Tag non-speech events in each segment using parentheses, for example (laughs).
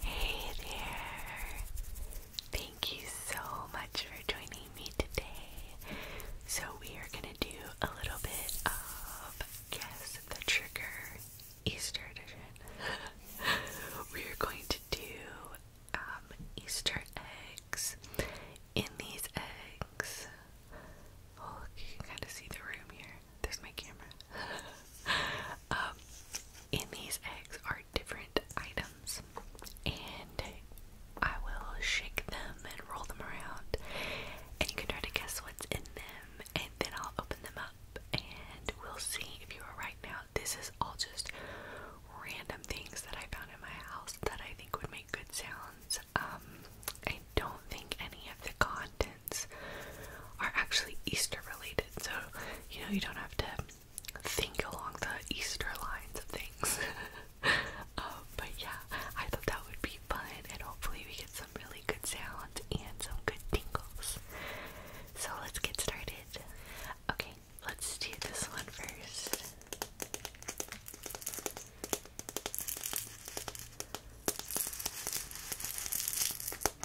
Hey there! Thank you so much for joining me today. So, we are going to do a little bit of Guess the Trigger Easter Edition. (laughs) we are going to do um, Easter eggs. In these eggs, oh, you can kind of see the room here. There's my camera. (laughs) um, in these eggs are different items, and I will shake them and roll them around, and you can try to guess what's in them, and then I'll open them up, and we'll see if you are right. Now, this is all just random things that I found in my house that I think would make good sounds. Um, I don't think any of the content are actually Easter related. So, you know, you don't have to think along the Easter lines of things. (laughs) um, but yeah, I thought that would be fun and hopefully we get some really good sounds and some good tingles. So let's get started. Okay, let's do this one first.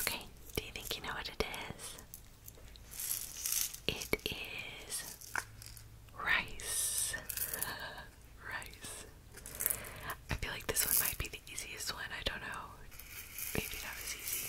Okay, do you think you know what it is? It is rice. (laughs) rice. I feel like this one might be the easiest one. I don't know. Maybe that was easy.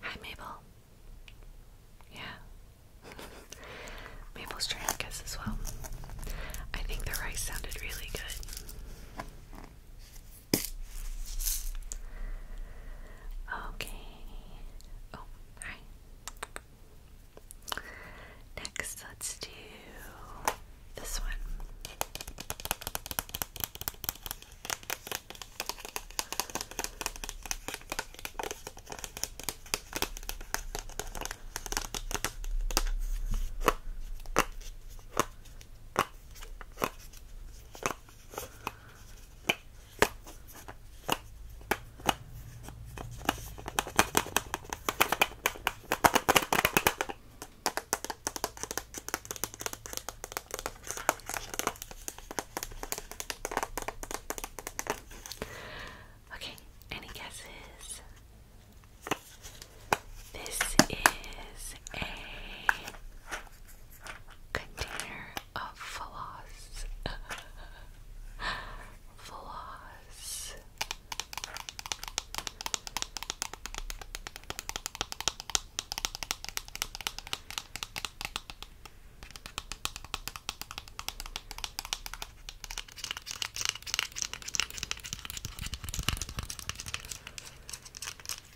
Hi, Mabel. Yeah. (laughs) Mabel's trying to guess as well. I think the rice sounded really good. Okay. Oh, hi. Next, let's do this one. Okay, any guesses? This is a container of floss. (laughs) floss.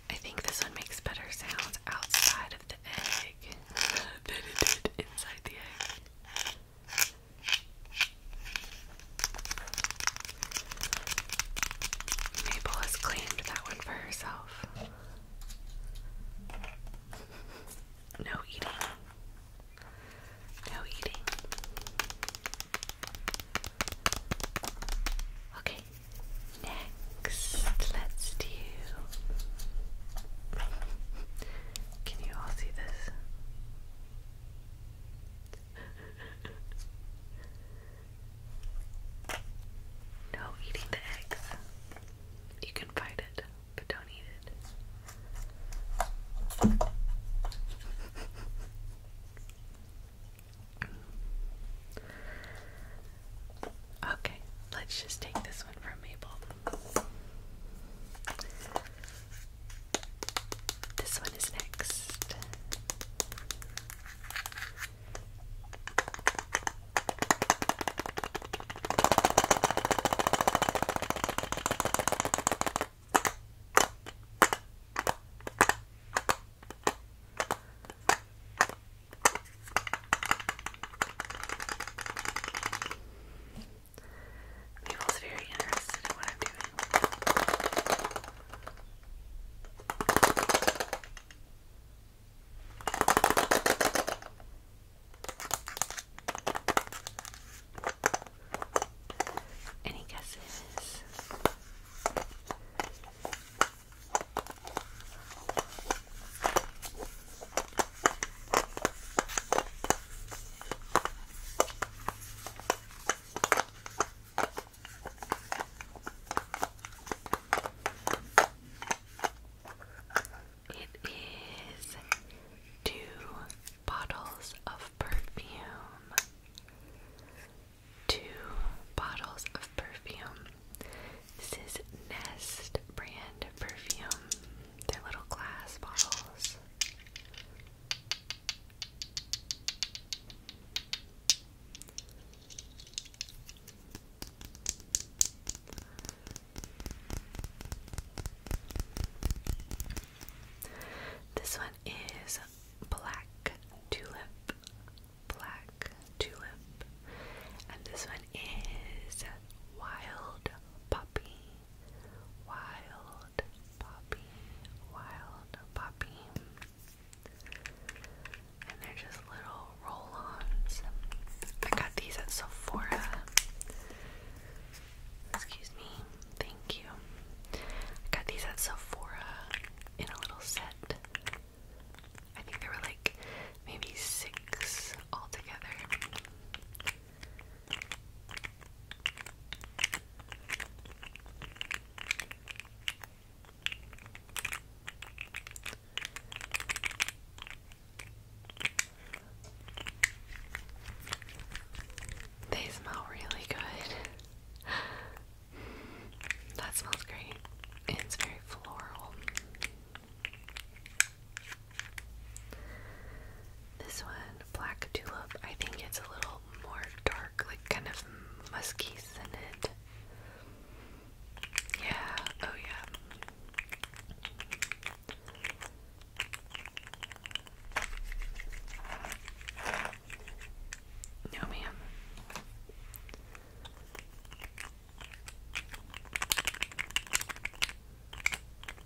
I think this one makes better sounds outside of the egg (laughs) than it did inside the egg. Mabel has claimed that one for herself. No eating. No eating. Okay, next let's do. Can you all see this? no, eating the eggs. You can fight it, but don't eat it. Okay, let's just take this one from Mabel. This one is next. Mabel's very interested in what I'm doing. Any guesses? It is two bottles of perfume. Two bottles of perfume. This is Nest brand perfume they little glass bottles. This one is black tulip, black tulip, and this one is wild puppy. Wild Poppy, Wild Poppy. And they're just little roll-ons. I got these at Sephora. Excuse me. Thank you. I got these at Sephora in a little set. I think there were like maybe six altogether. They smell really good. That smells great. it's very floral. This one, Black Tulip, I think it's a little more dark, like kind of musky scented. Yeah, oh yeah. No, ma'am.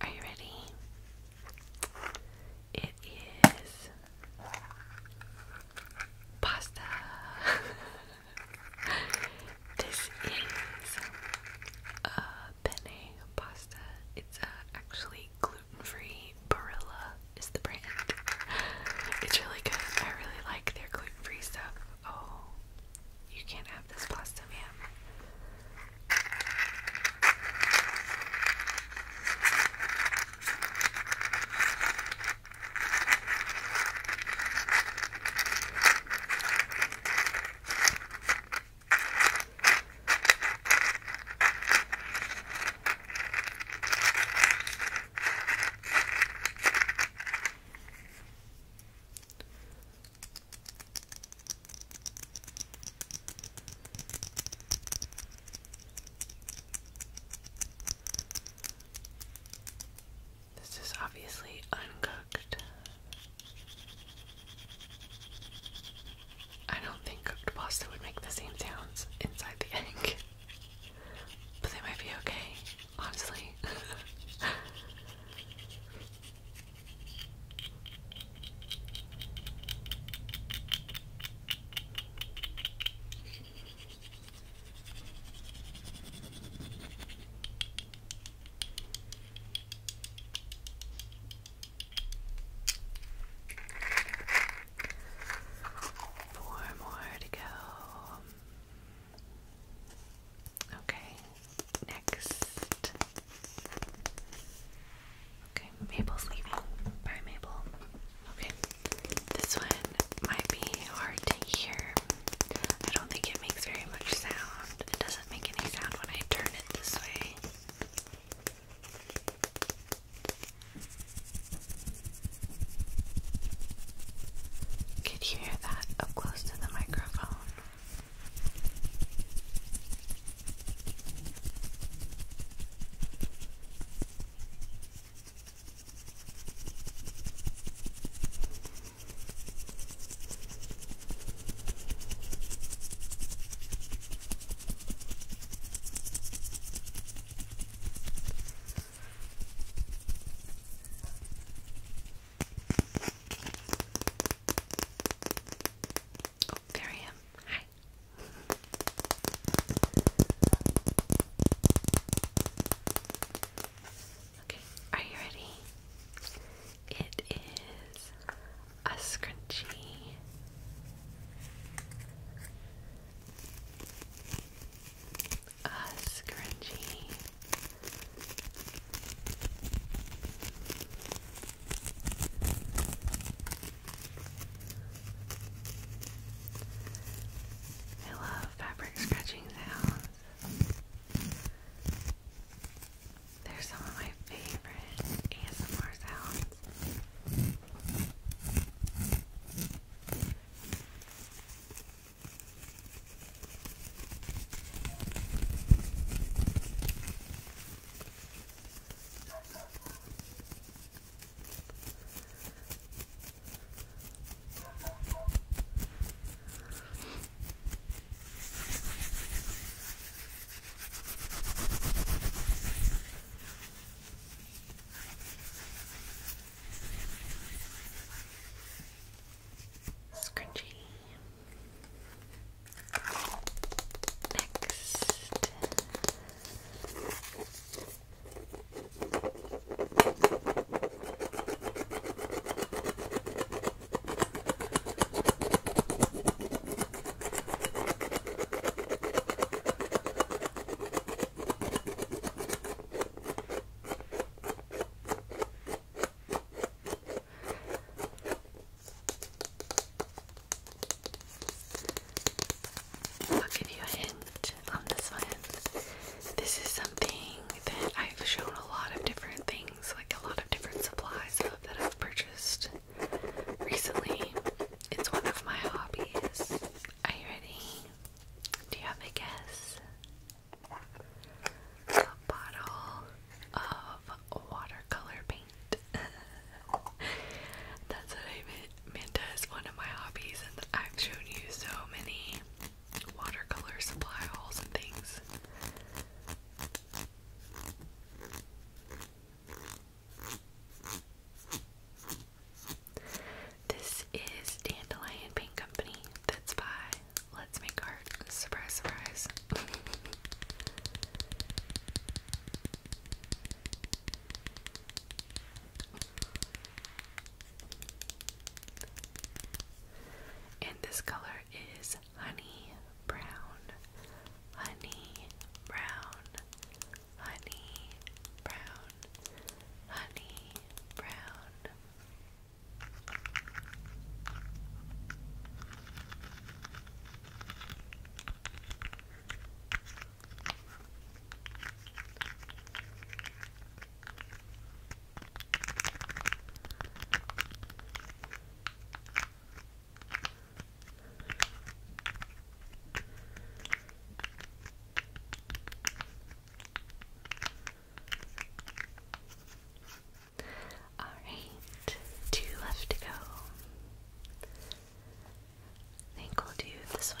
Are you ready? It is pasta. (laughs) this is a penne pasta. It's uh, actually gluten free Barilla is the brand. It's really good. I really like their gluten-free stuff. Oh, you can't have this pasta, ma'am. This is obviously uncooked. I don't think cooked pasta would make the same sounds inside the egg. (laughs) But they might be okay, honestly. Four more to go. Okay, next. Okay, Mabel's leaving. Bye, Mabel. Okay, this one might be hard to hear. I don't think it makes very much sound. It doesn't make any sound when I turn it this way. Could you hear that up close to the microphone? Oh, Hi. Okay, are you ready? It is a scrunchie. A scrunchie. I love fabric scratching sounds. They're some of my favorite ASMR sounds. Scrunchy. Next. I'll give you a hint on this one. This is something that I've shown a lot of different things like a lot of different supplies that I've purchased recently. It's one of my hobbies. Are you ready? Do you have a guess? A bottle of watercolor paint. (laughs) That's what I meant. Minta is one of my hobbies, and I've shown you so many watercolor supply hauls and things. This is Dandelion Paint Company. That's by Let's Make Art. Surprise, surprise. (laughs) and this color is honey brown, honey brown, honey brown, honey brown. All right, two left to go. I think we'll do this one.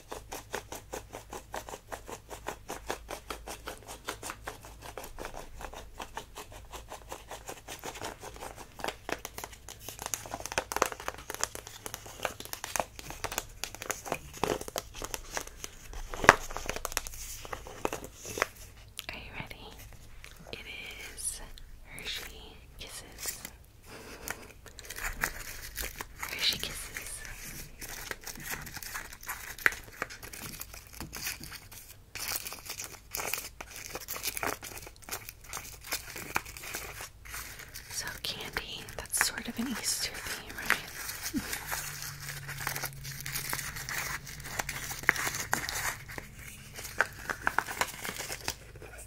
Are you ready? It is Hershey Kisses. Fishy kisses. So candy, that's sort of an Easter theme, right?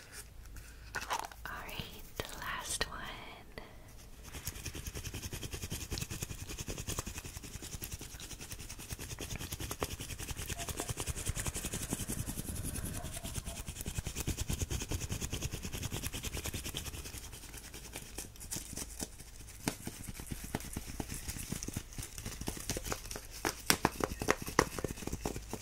Alright, the last one.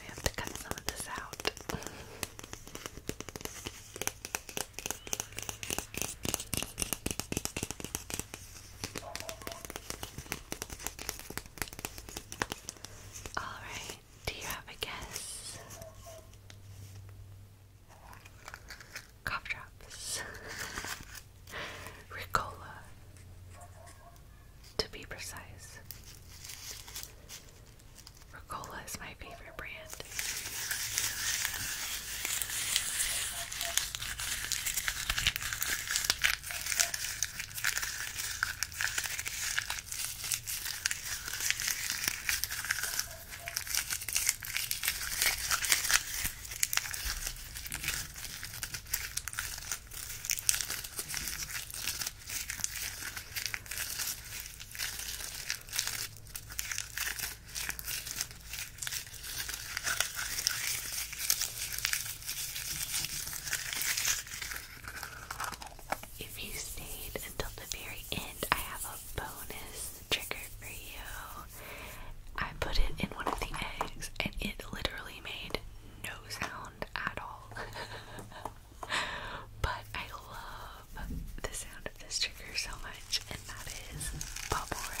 We have to cut some of this out. Alright, do you have a guess? Cough drops. (laughs) Ricola to be precise. Ricola is my favorite brand. If you stayed until the very end, I have a bonus trigger for you. I put it in one of the eggs and it literally made no sound at all. (laughs) but I love the sound of this trigger so much, and that is bubble wrap.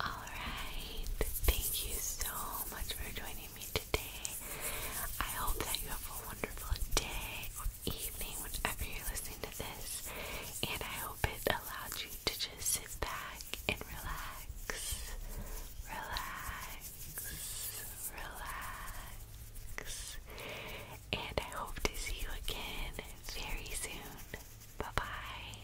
Alright, thank you so much for joining me today. I hope that you have a wonderful day or evening whenever you're listening to this, and I hope it allowed you to just sit back and relax. Relax, relax, and I hope to see you again very soon. Bye bye.